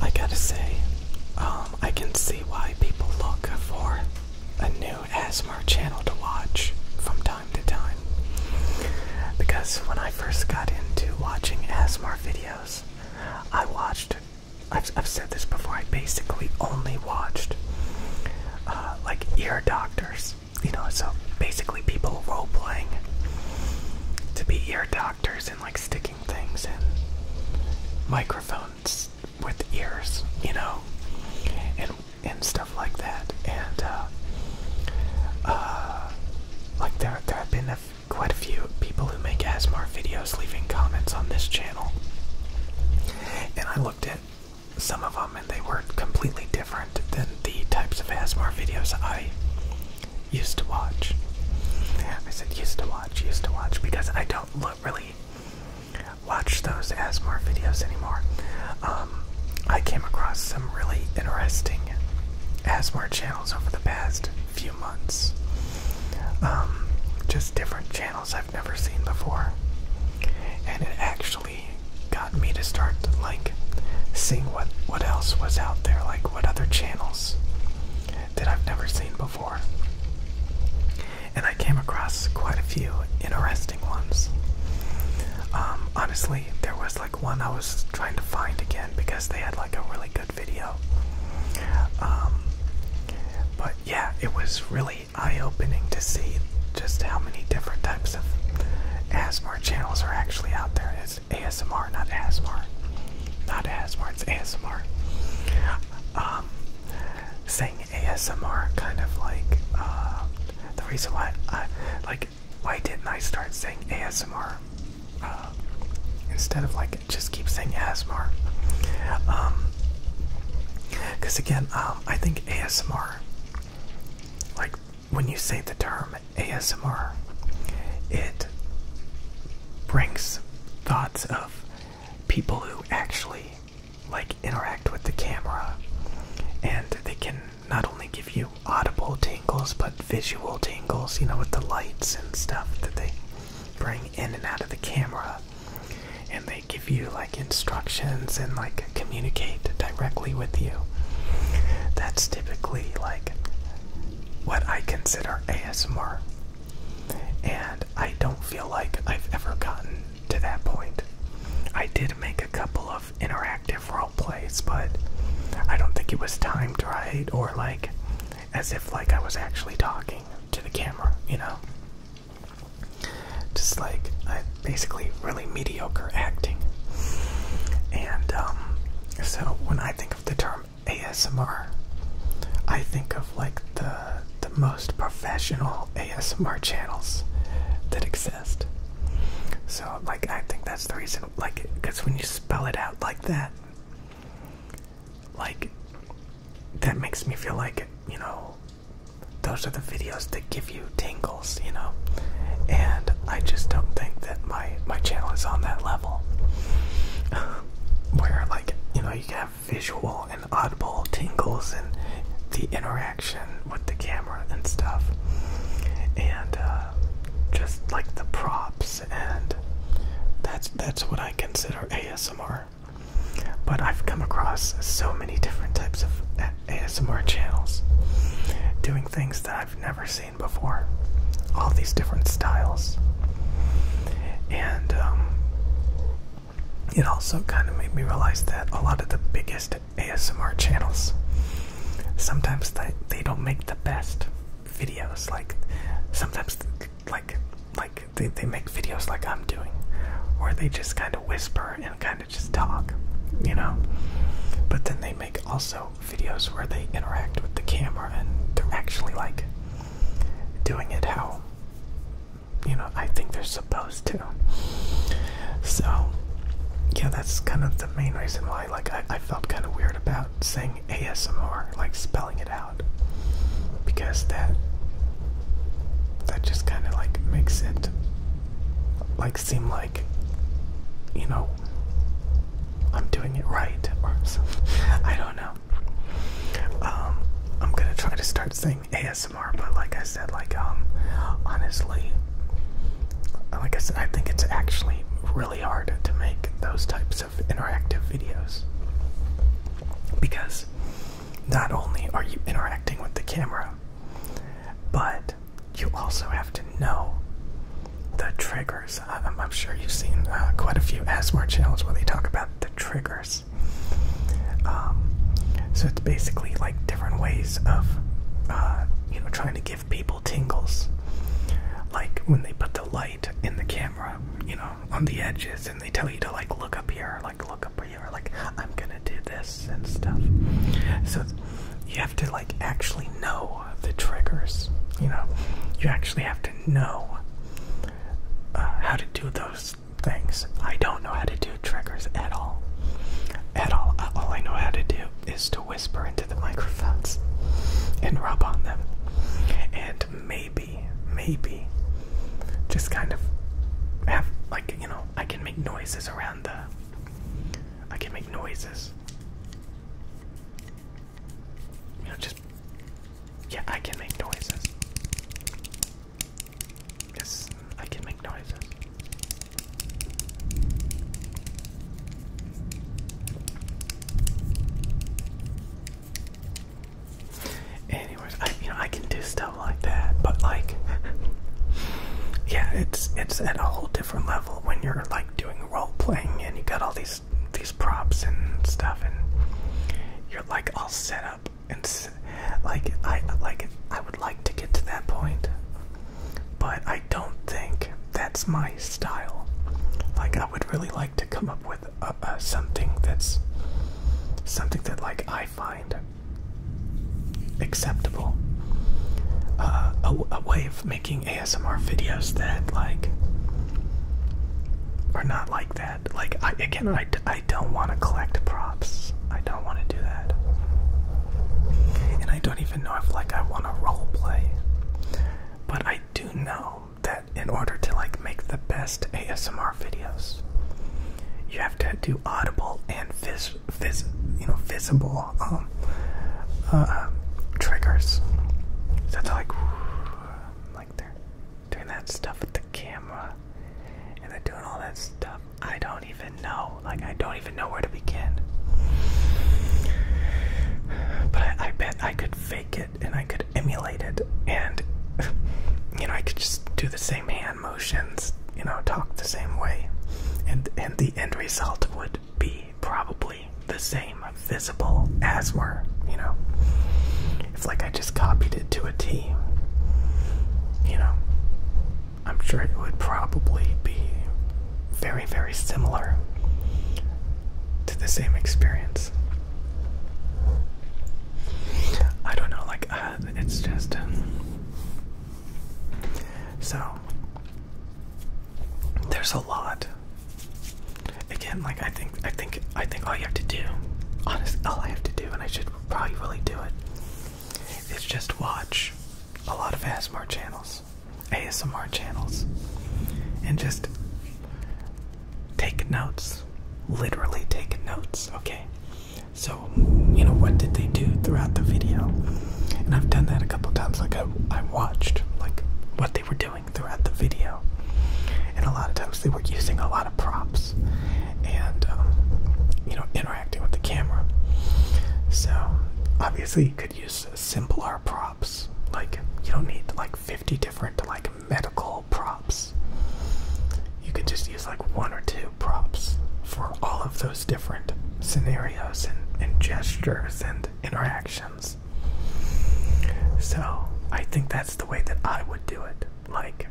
I gotta say, um, I can see why people look for a new ASMR channel to watch from time to time. Because when I first got into watching ASMR videos, I watched, I've, said this before, I basically only watched uh, like ear doctors. You know, so basically people role playing to be ear doctors like sticking things in microphones with ears, you know, and and stuff like that. And uh, uh like there there have been quite a few people who make ASMR videos leaving comments on this channel, and I looked at some of them and they were completely different than the types of ASMR videos I used to watch. I said used to watch, used to watch, because I don't really watch those ASMR videos anymore. Um, I came across some really interesting ASMR channels over the past few months. Um, just different channels I've never seen before. And it actually got me to start like seeing what what else was out there, like what other channels that I've never seen before. And I came across quite a few interesting ones. Um, honestly, there was like one I was trying to find again because they had like a really good video. Um, but yeah, it was really eye opening to see just how many different types of ASMR channels are actually out there. ASMR, not ASMR. Not ASMR, it's ASMR. Um, saying ASMR kind of like, uh, the reason why I, like, why didn't I start saying ASMR? Uh, instead of like, just keep saying ASMR. Um, because again, um, I think ASMR, like, when you say the term ASMR, it brings thoughts of people who actually like interact with the camera and they can not only give you audible tingles but visual tingles, you know, with the lights and stuff that they bring in and out of the camera. And they give you like instructions and like communicate directly with you. That's typically like what I consider ASMR. And I don't feel like I've ever gotten to that point. I did make a couple of interactive role plays, but I don't think it was timed right or like as if like I was actually talking to the camera, you know. Just like I basically really mediocre acting. And um so when I think of the term ASMR, I think of like the the most professional ASMR channels that exist. So like I think that's the reason like cuz when you spell it out like that like that makes me feel like, you know, those are the videos that give you tingles, you know. And I just don't think that my my channel is on that level, where like you know you can have visual and audible tingles and the interaction with the camera and stuff, and uh, just like the props and that's that's what I consider ASMR. But I've come across so many different types of ASMR channels doing things that I've never seen before. All these different styles. And um, it also kind of made me realize that a lot of the biggest ASMR channels sometimes they, they don't make the best videos. Like sometimes like like they, they make videos like I'm doing or they just kind of whisper and kind of just talk, you know. But then they make also videos where they interact with the camera and they're actually like doing it how you know I think they're supposed to. So yeah, that's kind of the main reason why like I felt kind of weird about saying ASMR, like spelling it out. Because that that just kind of like makes it like seem like you know I'm doing it right or something. I don't know. Um, I'm gonna try to start saying ASMR, but like I said, like um, honestly, like I said, I think it's actually really hard to make those types of interactive videos because not only are you interacting with the camera, but you also have to know the triggers. I'm, sure you've seen uh, quite a few ASMR channels where they talk about the triggers. Um, so it's basically like different ways of, uh, you know, trying to give people tingles. Like when they put the light in the camera, you know, on the edges, and they tell you to like look up here, like look up here, like I'm gonna do this and stuff. So you have to like actually know the triggers. You know, you actually have to know uh, how to do those things. I don't know how to do triggers at all. At all. Uh, all I know how to do is to whisper into the microphones and rub on them. And maybe, maybe, just kind of have, like, you know, I can make noises around the. I can make noises. You know, just yeah, I can make noises. Yes, I can make noises. Anyways, I you know I can do stuff like that, but like yeah, it's it's at a whole different level when you're like doing role playing and you got all these these props and stuff, and you're like all set up and like I like I would like to get to that point, but I don't think that's my style. Like I would really like to come up with something that's something that like I find acceptable, uh, a, way of making making ASMR videos that like are not like that. Like again, I, I don't want to collect props. I don't want to do that, and I don't even know if like I want to role play. But I do know that in order to like make the best ASMR videos, you have to do audible and vis, vis you know visible um, uh, triggers. So that's like like they're doing that stuff with the camera and they're doing all that stuff. I don't even know. Like, I don't even know where to begin. But I, I bet I could fake it and I could emulate it and, you know, I could just do the same hand motions, you know, talk the same way. And, and the end result would be probably the same visible as were, you know. It's like I just copied it to a T. You know, I'm sure it would probably be very, very similar to the same experience. I don't know, like, uh, it's just. Um, so, there's a lot Again, like I think, I think, I think all you have to do, honestly, all I have to do, and I should probably really do it, is just watch a lot of ASMR channels, ASMR channels, and just take notes. Literally take notes. Okay, so you know what did they do throughout the video? And I've done that a couple times. Like I, I watched like what they were doing throughout the video. And a lot of times they were using a lot of props and, um, you know, interacting with the camera. So obviously you could use simpler props. Like you don't need like 50 different like medical props. You could just use like one or two props for all of those different scenarios and, and gestures and interaction. So I think that's the way that I would do it. Like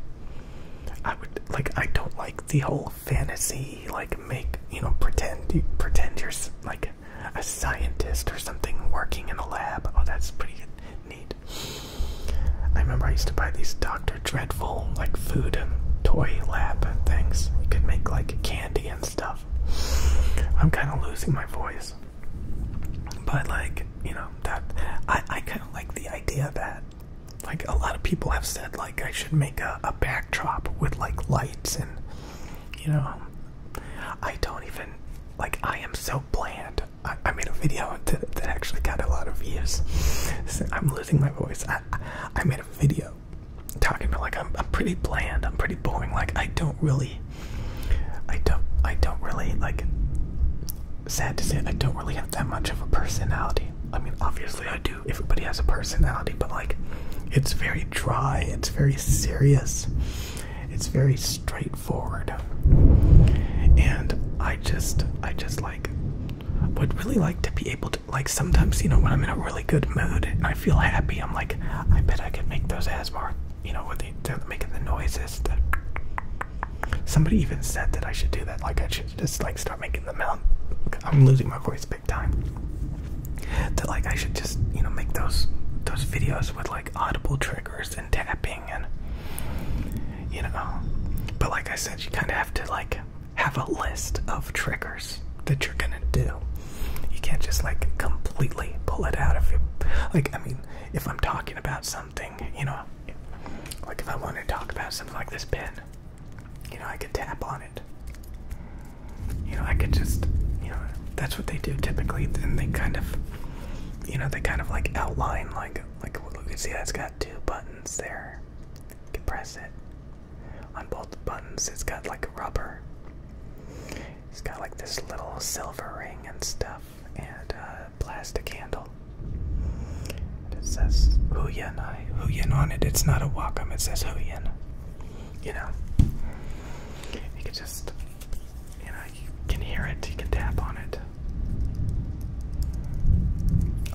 I would like I don't like the whole fantasy like make you know pretend you pretend you're like a scientist or something working in a lab. Oh, that's pretty neat. I remember I used to buy these Dr. Dreadful like food and toy lab things. You could make like candy and stuff. I'm kind of losing my voice. But like, you know, that I, I kind of like the idea that like a lot of people have said like I should make a, backdrop with like lights and you know I don't even like I am so bland. I, I made a video that, that actually got a lot of views. I'm losing my voice. I, I made a video talking about like I'm, I'm pretty bland. I'm pretty boring. Like I don't really I don't I don't really like sad to say I don't really have that much of a personality. I mean obviously I do. Everybody has a personality, but like it's very dry, it's very serious, it's very straightforward. And I just I just like would really like to be able to like sometimes, you know, when I'm in a really good mood and I feel happy, I'm like, I bet I could make those ASMR, you know, with they, are making the noises. Somebody even said that I should do that. Like I should just like start making the mouth. I'm losing my voice big time. That like I should just you know make those those videos with like audible triggers and tapping and you know. But like I said, you kind of have to like have a list of triggers that you're gonna do. You can't just like completely pull it out of you. Like I mean, if I'm talking about something, you know, like if I want to talk about something like this pen, you know, I could tap on it. You know, I could just, you know, that's what they do typically. And they kind of, you know, they kind of like outline like, like look, see it has got two buttons there. You can press it. On both buttons, it's got like rubber. He's got like this little silver ring and stuff, and a uh, plastic candle. And it says Huyen, I on it. It's not a Wacom, it says Huyen. You know, you can just, you know, you can hear it, you can tap on it.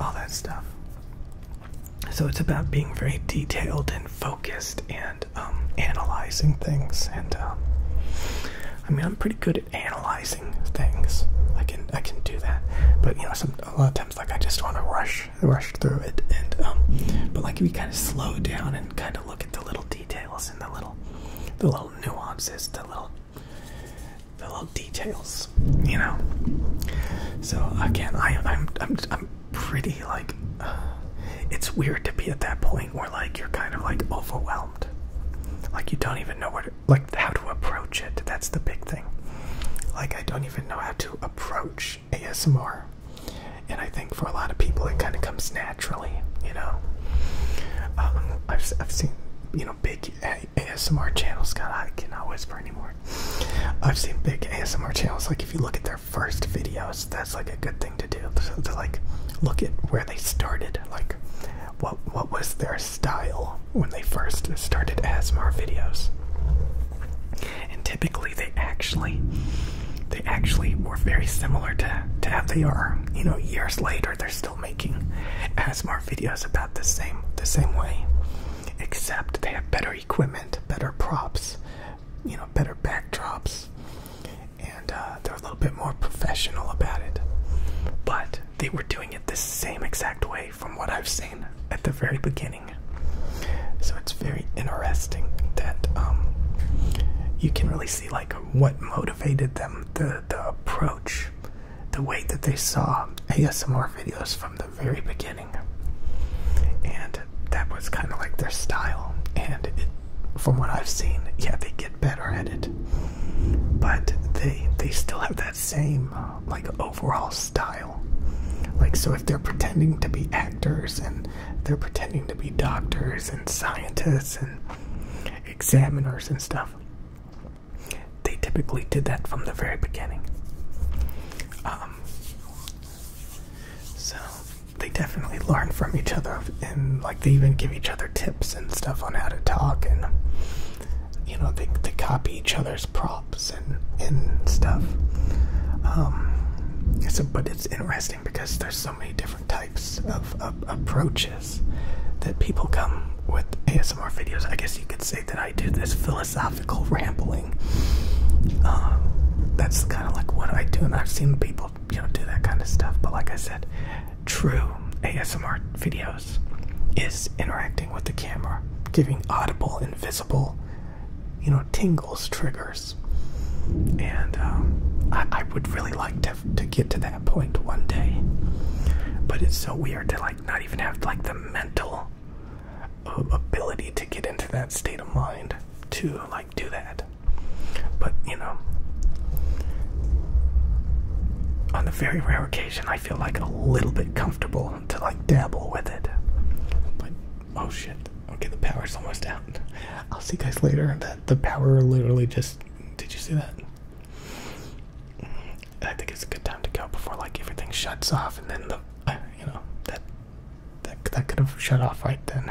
All that stuff. So it's about being very detailed and focused and um, analyzing things. And um, I mean, I'm pretty good at analyzing things. I can I can do that, but you know, a lot of times like I just want to rush rush through it. And um, but like if you kind of slow down and kind of look at the little details and the little the little nuances, the little the little details, you know. So again, I I'm I'm I'm pretty like it's weird to be at that point where like you're kind of like overwhelmed like you don't even know where like how to approach it that's the big thing like i don't even know how to approach asmr and i think for a lot of people it kind of comes naturally you know um, I've, I've seen you know big asmr channels god i cannot whisper anymore i've seen big asmr channels like if you look at their first videos that's like a good thing to do to, to like look at where they started like what what was their style when they first started asmr videos and typically they actually they actually were very similar to, to how they are you know years later they're still making asmr videos about the same the same way except they have better equipment better props you know better backdrops and uh, they're a little bit more professional about it. But they were doing it the same exact way from what I've seen at the very beginning. So it's very interesting that um, you can really see like what motivated them, the the approach, the way that they saw ASMR videos from the very beginning, and that was kind of like their style, and from what I've seen, yeah, they get better at it, but they they still have that same uh, like overall style. Like so, if they're pretending to be actors and they're pretending to be doctors and scientists and examiners and stuff, they typically did that from the very beginning. Um, so they definitely learn from each other and like they even give each other tips and stuff on how to talk and you know they, they copy each other's props and and stuff um, so but it's interesting because there's so many different types of, approaches that people come with asmr videos i guess you could say that i do this philosophical rambling uh, that's kind of like what i do and i've seen people you know, do that kind of stuff. But like I said, true ASMR videos is interacting with the camera, giving audible, invisible, you know, tingles, triggers. And um, I, I would really like to, to get to that point one day. But it's so weird to like not even have like the mental uh, ability to get into that state of mind to like do that. But you know, on a very rare occasion, I feel like a little bit comfortable to like dabble with it. But oh shit! Okay, the power's almost out. I'll see you guys later. That the power literally just. Did you see that? I think it's a good time to go before like everything shuts off, and then the uh, you know that that that could have shut off right then.